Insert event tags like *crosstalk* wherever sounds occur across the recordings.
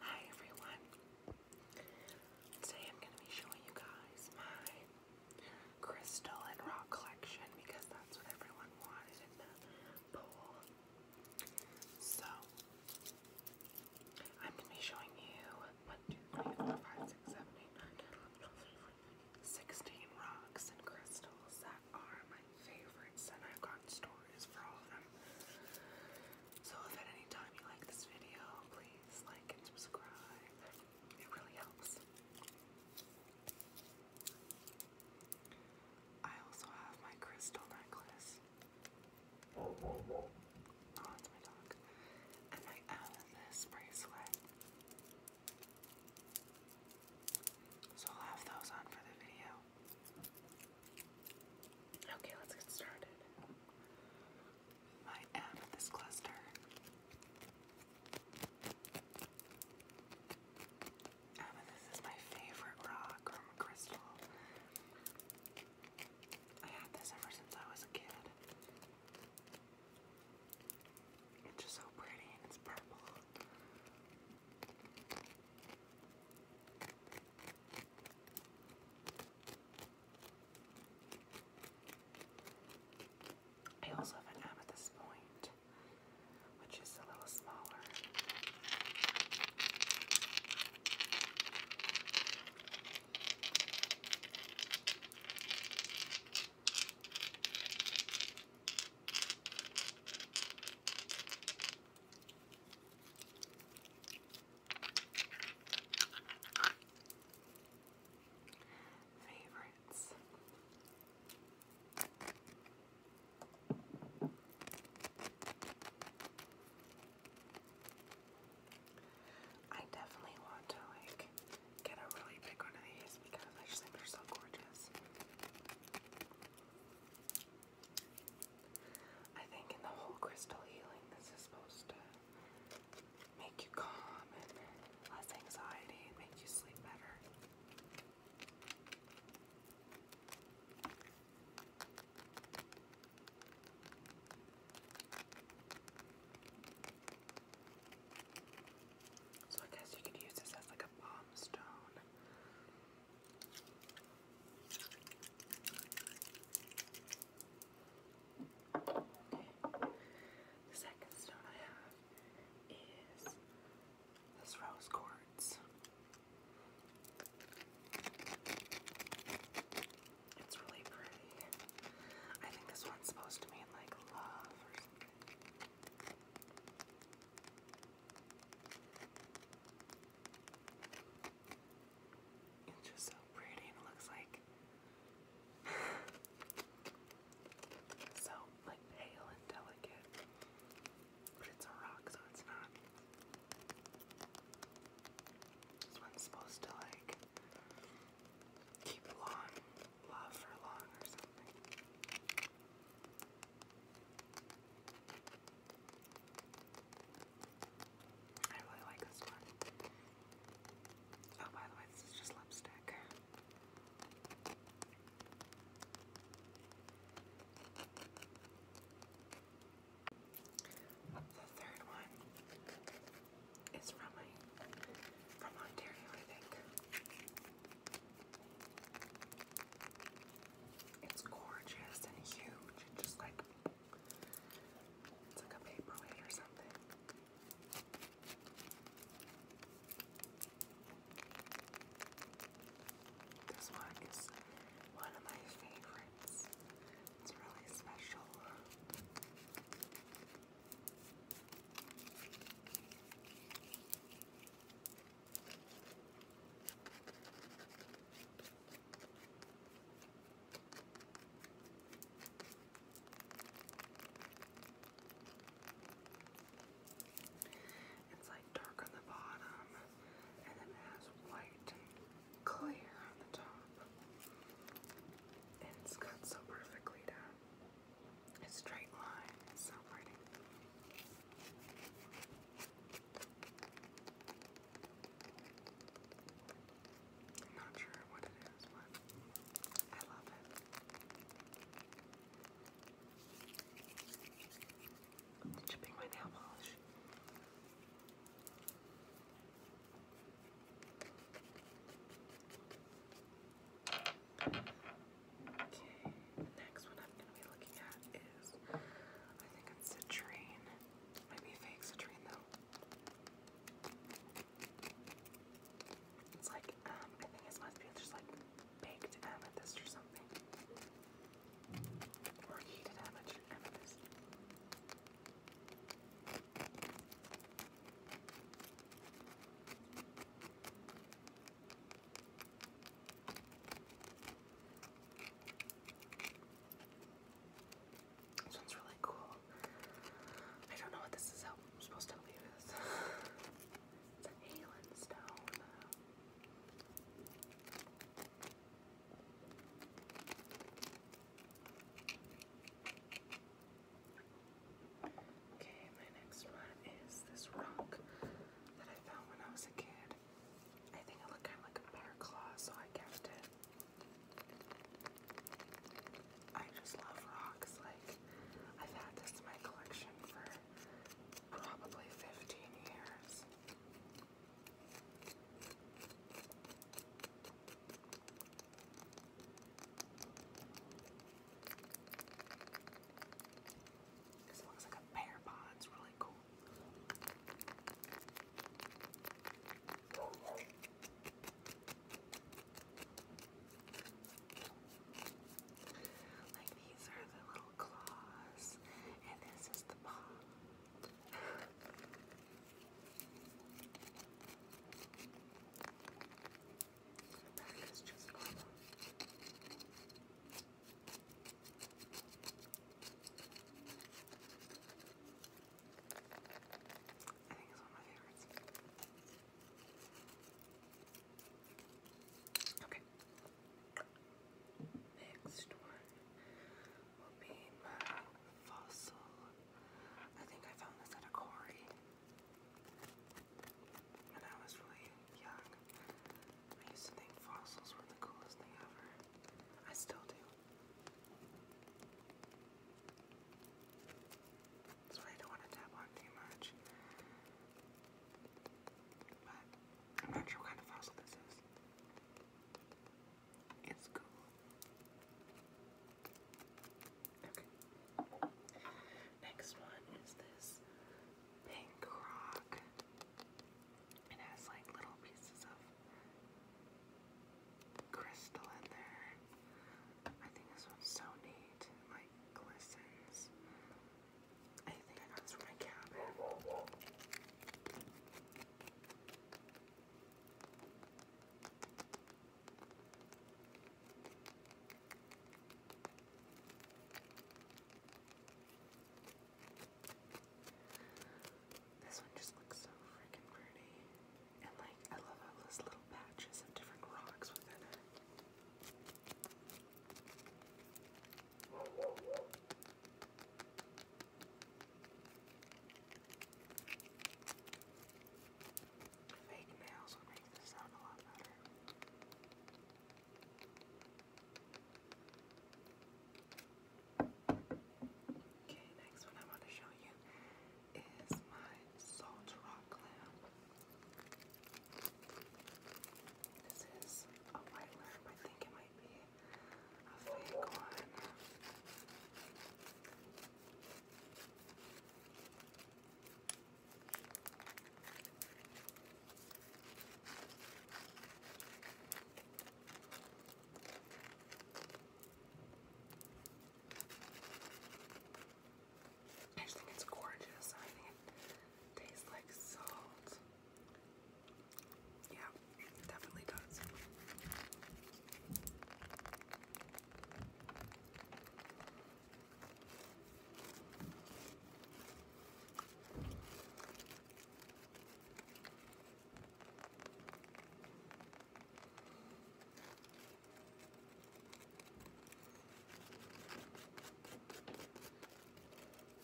Hi everyone. Today I'm going to be showing you guys my crystal and rock collection because that's what everyone wanted in the poll. So I'm going to be showing you 1, 2, 3, 4, 5, 6, 7, 8, 9, 10, 11, 12, 13, 14, 16 rocks and crystals that are my favorites, and I've gotten stories for all of them. So if at any time you like this video, please like and subscribe. It really helps. I also have my crystal necklace. Oh, it's my dog. And my amethyst bracelet. So I'll have those on for the video. Okay, let's get started. I am this cluster. Amethyst ah, is my favorite rock or crystal. I had this ever since I was a kid. It's just so pretty and it's purple. I also have an amethyst point, which is a little smaller. Favorites. I definitely want to like get a really big one of these because I just think they're so gorgeous. I think in the whole crystal healing, this is supposed to make you calm and less anxiety and make you sleep better. So I guess you could use this as like a palm stone second stone I have is this rose quartz. It's really pretty. I think this one's supposed to mean like love it's just so pretty and it looks like *sighs* so like pale and delicate. But it's a rock, so it's not. This one's supposed to like keep long love for long or something. I really like this one. Oh, by the way, this is just lipstick. The third one is from my from Ontario, I think. It's gorgeous and huge just like it's like a paperweight or something. This one is one of my favorites. It's really special. It's like dark on the bottom and then it has white and clear on the top. And it's cut so perfectly down. A straight line. It's so I'm not sure what it is, but I love it. I'm chipping my nail polish. Okay, next one I'm going to be looking at is, I think it's citrine. Maybe fake citrine though. It's like, um, I think it must be just like baked amethyst or something. Or heated amethyst. This one's really cool. I don't know what this is supposed to leave *laughs* it's a Halen stone. Okay, my next one is this rock that I found when I was a kid. I think I look kind of like a bear claw, so I kept it. I just love rocks. Like, I've had this in my collection for probably 15 years. Because it looks like a bear paw, it's really cool. Like these are the little claws, and this is the paw. That is just awesome. I think Okay. Next one will be my fossil. I think I found this at a quarry when I was really young. I used to think fossils were the coolest thing ever. I still do. That's why I don't want to tap on too much. But I'm not sure what kind of fossil this is. It's cool. Next one is this pink rock. It has like little pieces of crystal in there. I think this one's so neat. like glistens. I think I got this from my cabin. This one just looks so freaking pretty. And like, I love all those little patches of different rocks within it. Fake nails would make this sound a lot better. Okay, next one I want to show you is my salt rock lamp. This is a white lamp. I think it might be a fake one. I just think it's gorgeous. I think it tastes like salt. Yeah, definitely does.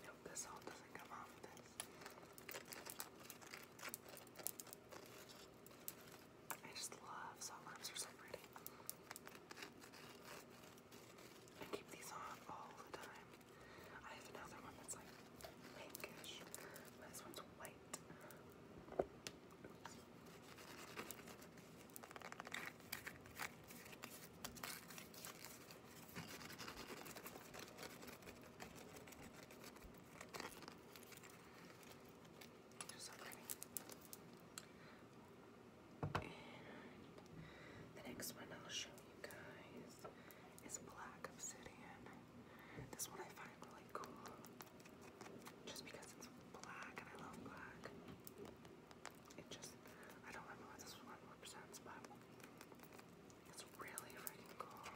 Nope, this all doesn't come off of this. I just love salt lamps, they're so pretty. I keep these on all the time. I have another one that's like pinkish, this one's white light. the next one I'll show you guys is black obsidian. This one I find really cool just because it's black and I love black. It just, I don't remember what this one represents, but it's really freaking cool.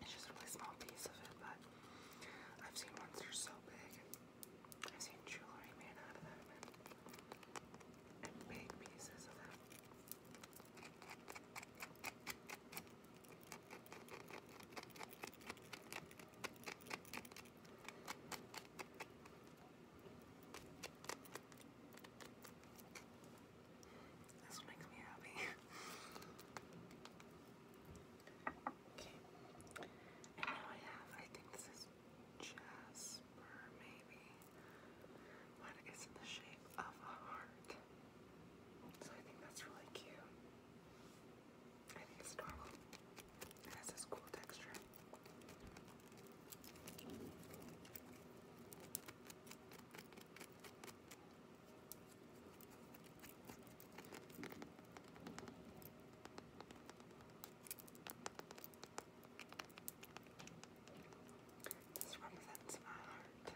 It's just a really small piece of it, but I've seen ones that are so big. I've jewelry made out of them and big pieces of them. This makes me happy. *laughs* okay. And now I have, I think this is jasper, maybe. But it's in the shape of a heart. So I think that's really cute. I think it's adorable. It has this cool texture. This represents my heart.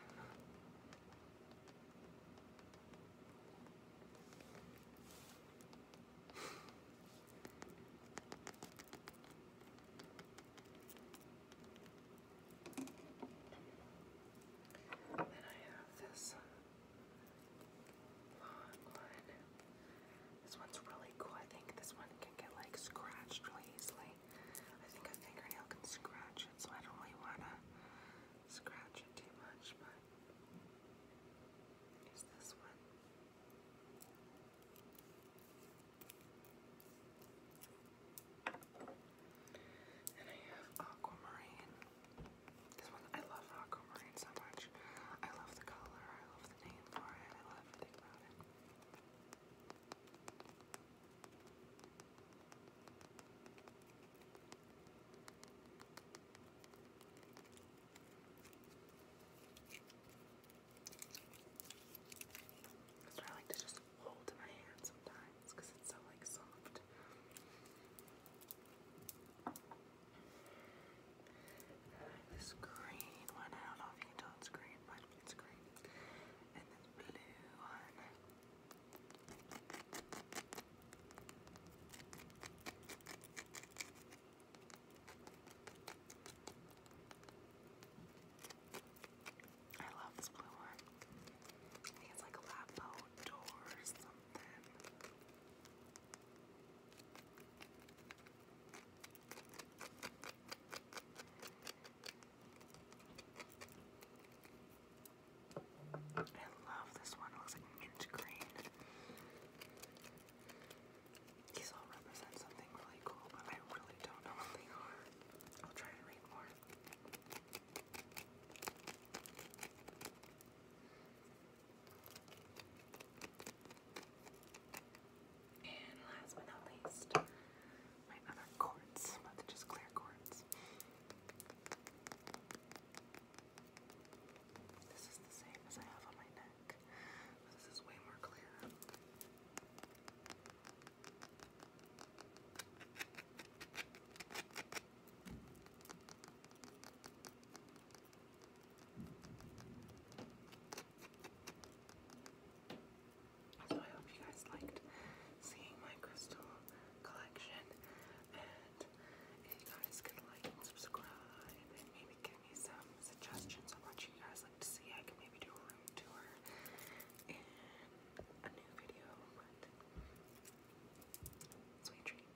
Then I have this this one's really cool. I think this one can get like scratched really easily. I think a fingernail can scratch it, so I don't really want to scratch it too much, but use this one. And I have aquamarine. This one, I love aquamarine so much. I love the color, I love the name for it, I love everything about it. I like to just hold in my hand sometimes because it's so like soft this green one, I do it's green, but it's green. And this blue one. I love this blue one. I think it's like a something. I love this one. It looks like mint green. These all represent something really cool, but I really don't know what they are. I'll try to read more. And last but not least, my other cords, but they just clear cords. This is the same as I have on my neck, but this is way more clear. So I hope you guys liked seeing my crystal collection. And if you guys could like and subscribe and maybe give me some suggestions on what you guys like to see, I can maybe do a room tour in a new video. sweet dreams.